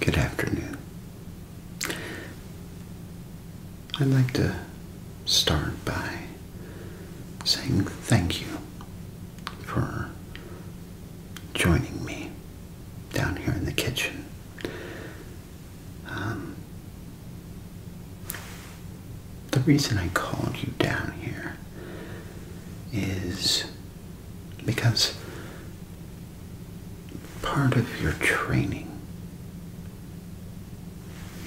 Good afternoon. I'd like to start by saying thank you for joining me down here in the kitchen. Um, the reason I called you down here is because part of your training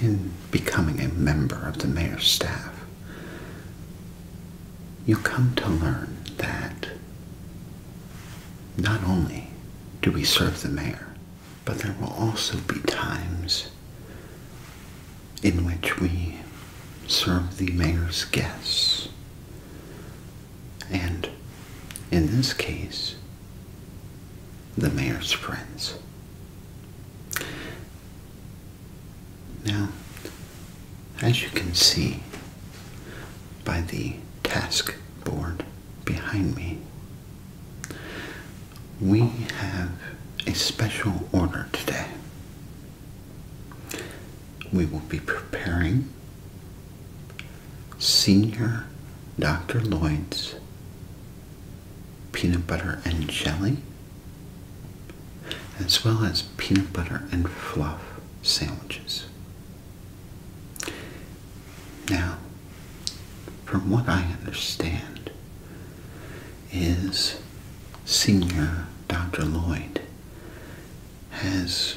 in becoming a member of the mayor's staff, you come to learn that not only do we serve the mayor, but there will also be times in which we serve the mayor's guests and in this case, the mayor's friends. Now, as you can see by the task board behind me, we have a special order today. We will be preparing Senior Dr. Lloyd's peanut butter and jelly, as well as peanut butter and fluff sandwiches. Now, from what I understand, is Senior Dr. Lloyd has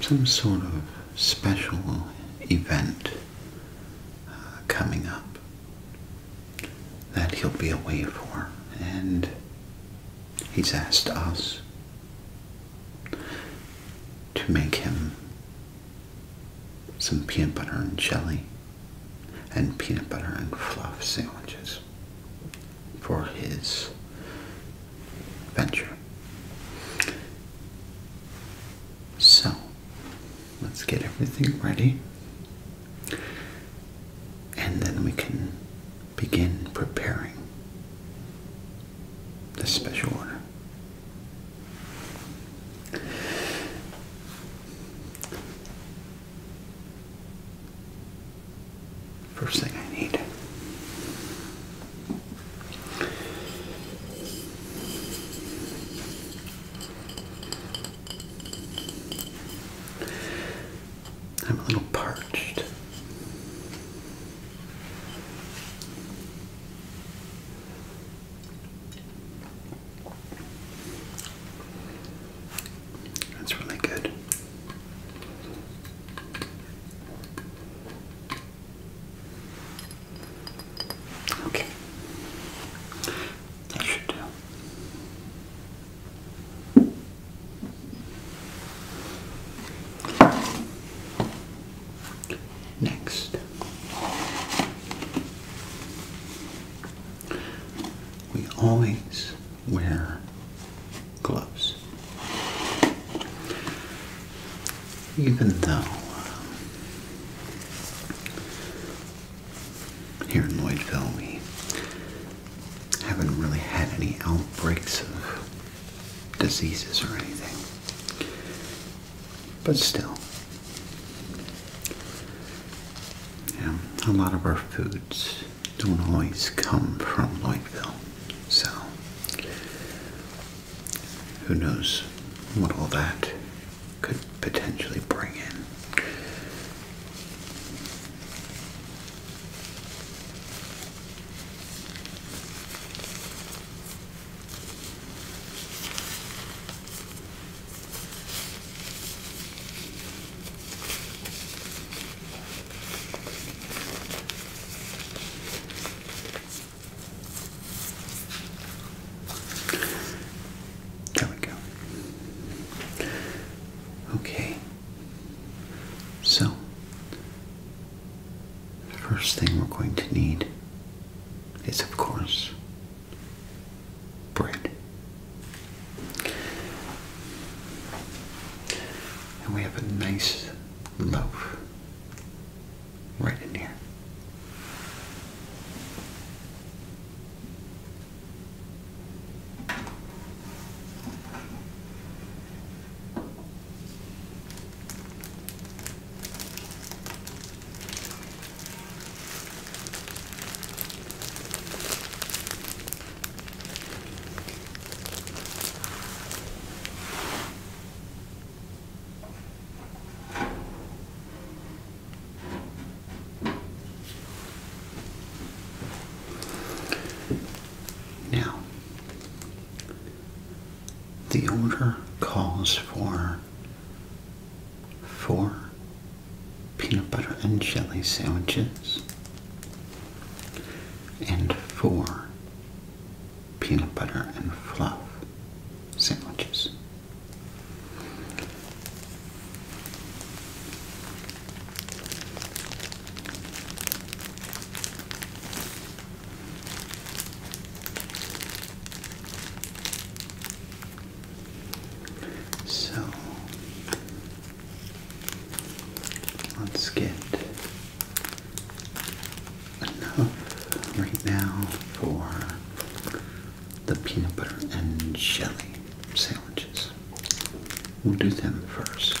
some sort of special event uh, coming up that he'll be away for, and he's asked us to make him some peanut butter and jelly and peanut butter and fluff sandwiches for his venture. So, let's get everything ready and then we can begin preparing the special order. First thing I need. I'm a little parched. That's really good. Okay. That should do. Next, we always wear gloves. Even though um, here in Lloydville we haven't really had any outbreaks of diseases or anything, but still, yeah, a lot of our foods don't always come from Lloydville. So, who knows what all that could potentially bring in. There we go. Okay. So, the first thing we're going to need is, of course, bread. And we have a nice loaf right in here. Now, the order calls for four peanut butter and jelly sandwiches, and four peanut butter and fluff sandwiches. So Let's get enough right now for the peanut butter and jelly sandwiches. We'll do them first.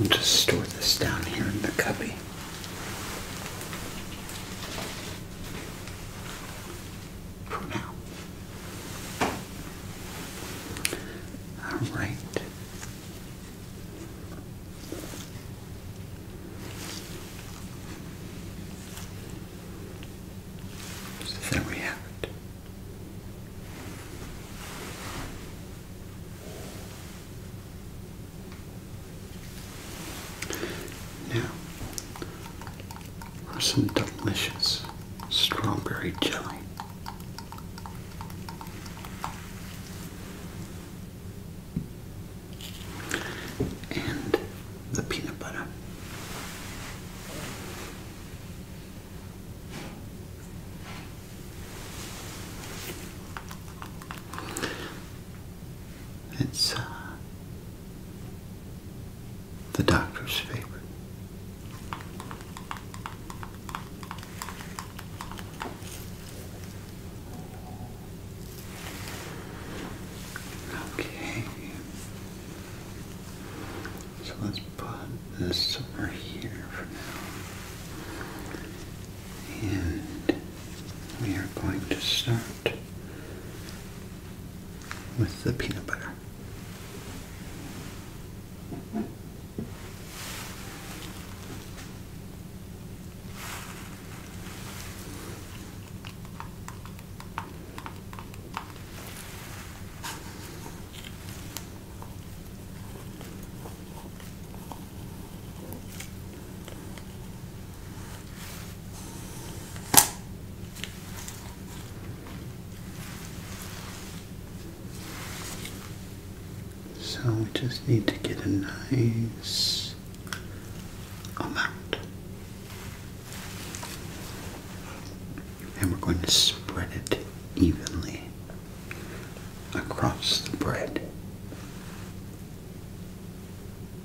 We'll just store this down here in the cubby pronoun. All right. So there we now, for some delicious strawberry jelly. And the peanut butter. It's uh, the doctor's favorite. Okay, so let's put this over here for now. And we are going to start with the peanut butter. So we just need to get a nice amount. And we're going to spread it evenly across the bread.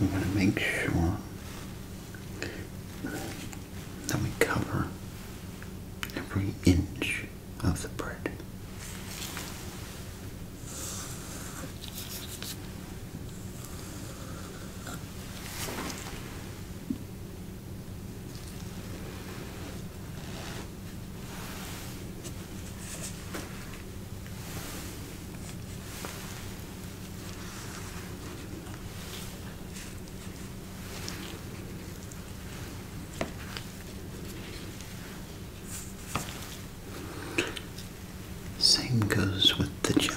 We want to make sure that we cover every inch of the bread. Same goes with the jelly.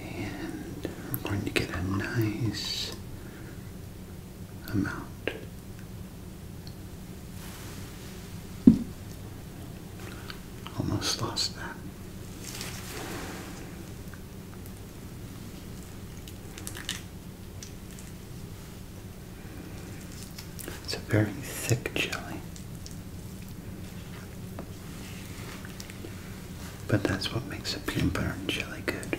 And we're going to get a nice amount. Almost lost that. It's a very thick jelly. But that's what makes a peanut butter and jelly good.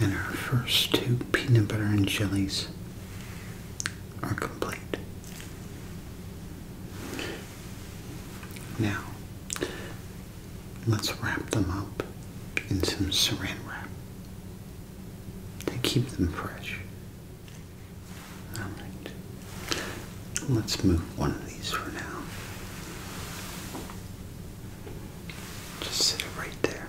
And our first two peanut butter and jellies are complete. Now, Let's wrap them up in some saran wrap to keep them fresh. All right. Let's move one of these for now. Just sit right there.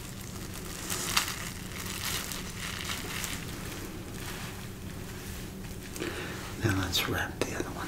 Now let's wrap the other one.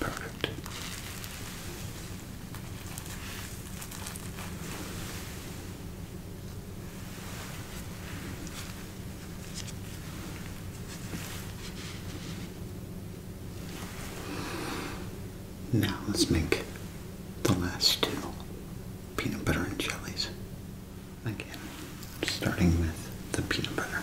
Perfect. Now let's make the last two peanut butter and jellies. Again, starting with the peanut butter.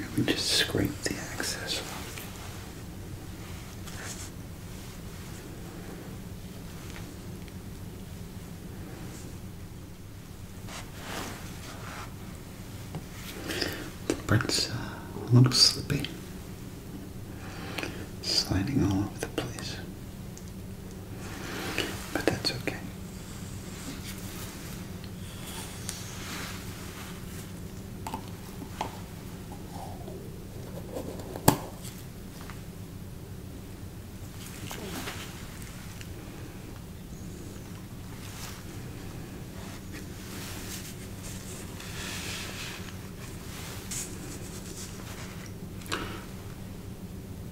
Let me just scrape the excess off. The bread's uh, a little slippy, sliding all over the place. But that's okay.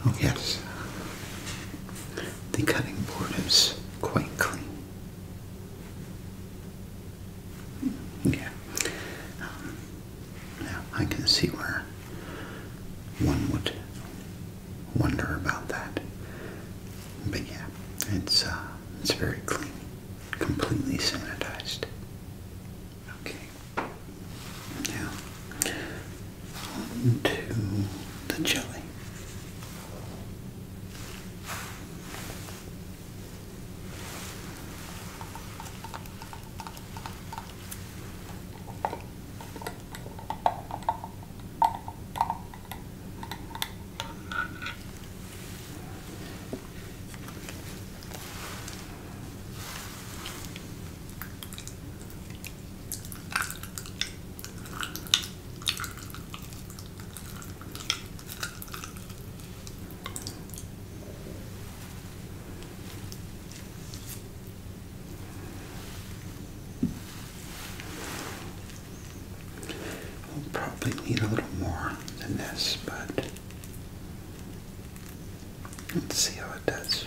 Oh yes, the cutting board is quite clean. Yeah. Um, now I can see where one would wonder about that, but yeah, it's uh, it's very clean, completely sanitized. Okay. Now, on to the jelly. We'll probably need a little more than this, but Let's see how it does. Yes.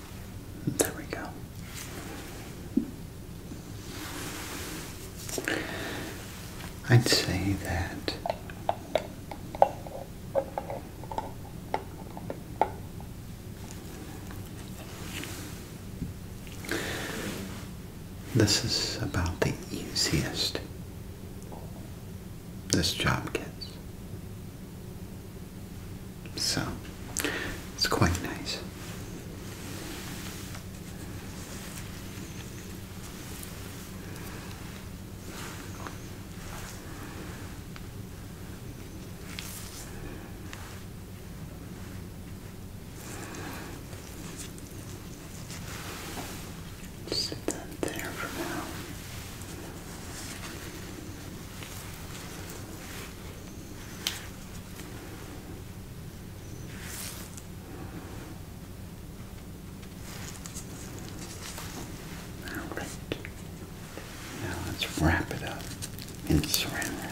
There we go. I'd say that this is about the easiest this job gets. So it's quite nice. Sit that there for now. All right. Now let's wrap it up in saran wrap.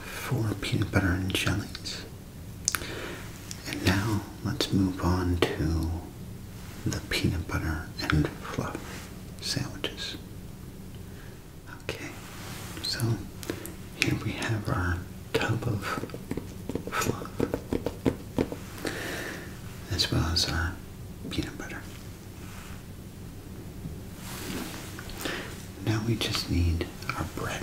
four peanut butter and jellies. And now let's move on to the peanut butter and fluff sandwiches. Okay, so here we have our tub of fluff as well as our peanut butter. Now we just need our bread.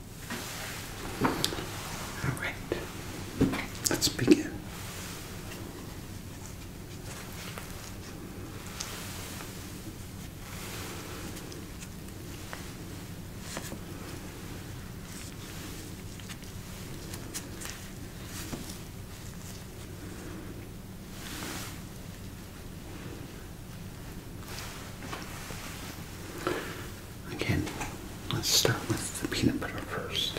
All right, let's begin. Again, let's start with the peanut butter first.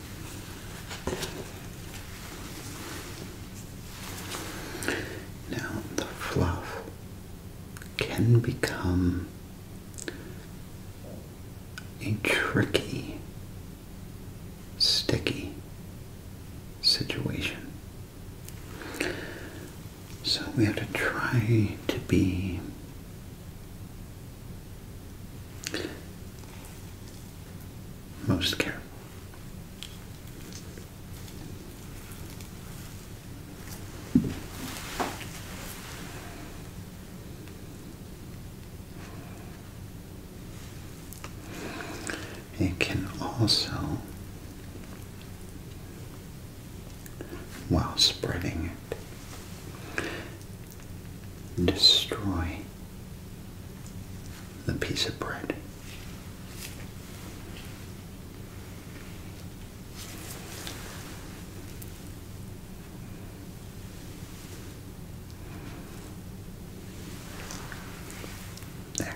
Now, the fluff can become a tricky, sticky situation. So we have to try to be most careful. It can also, while spreading it, destroy the piece of bread. There.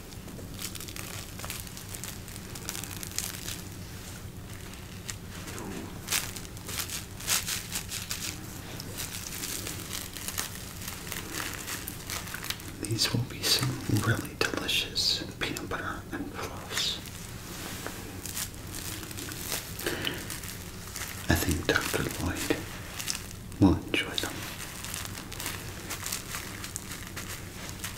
These will be some really delicious peanut butter and floss. I think Dr. Lloyd will enjoy them.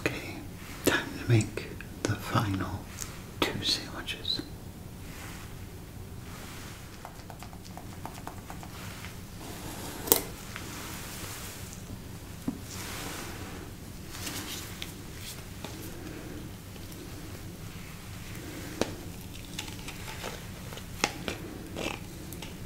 Okay, time to make the final two sandwiches.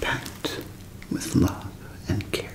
Packed with love and care.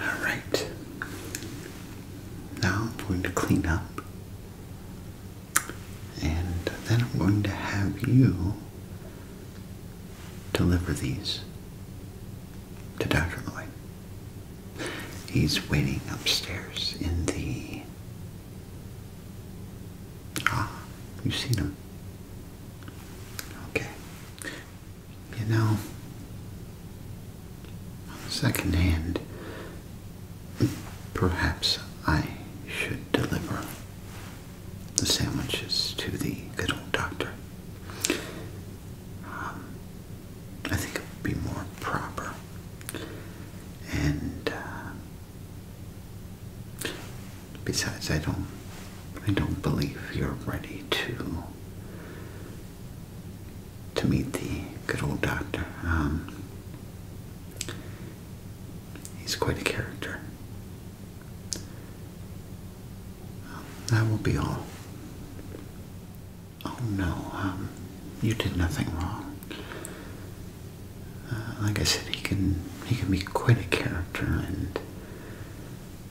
All right. Now I'm going to clean up. And then I'm going to have you deliver these to Dr. Lloyd. He's waiting upstairs in the... Ah, you've seen him. Okay. You know, second hand, perhaps I should deliver the sandwiches to the good old doctor. Um, I think it would be more proper. And uh, besides, I don't, I don't believe you're ready to to meet the good old doctor. Um, he's quite a character. That will be all. Oh no, um, you did nothing wrong. Uh, like I said, he can he can be quite a character, and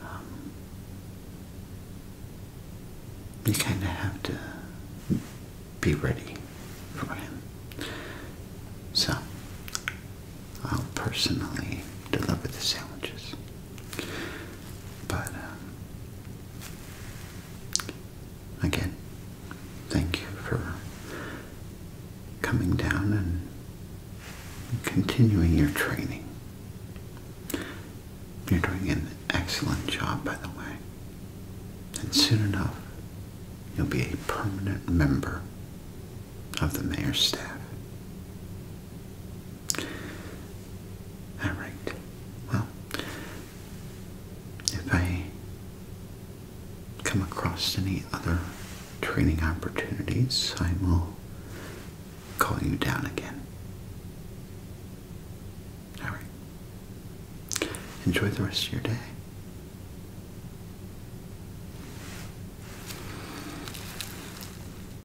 um, you kind of have to be ready for him. So I'll personally deliver the sandwiches. But uh, again, thank you for coming down and continuing your training. You're doing an excellent job, by the way. And soon enough, you'll be a permanent member of the mayor's staff. Alright, well, if I come across any other training opportunities, I will call you down again. Alright, enjoy the rest of your day.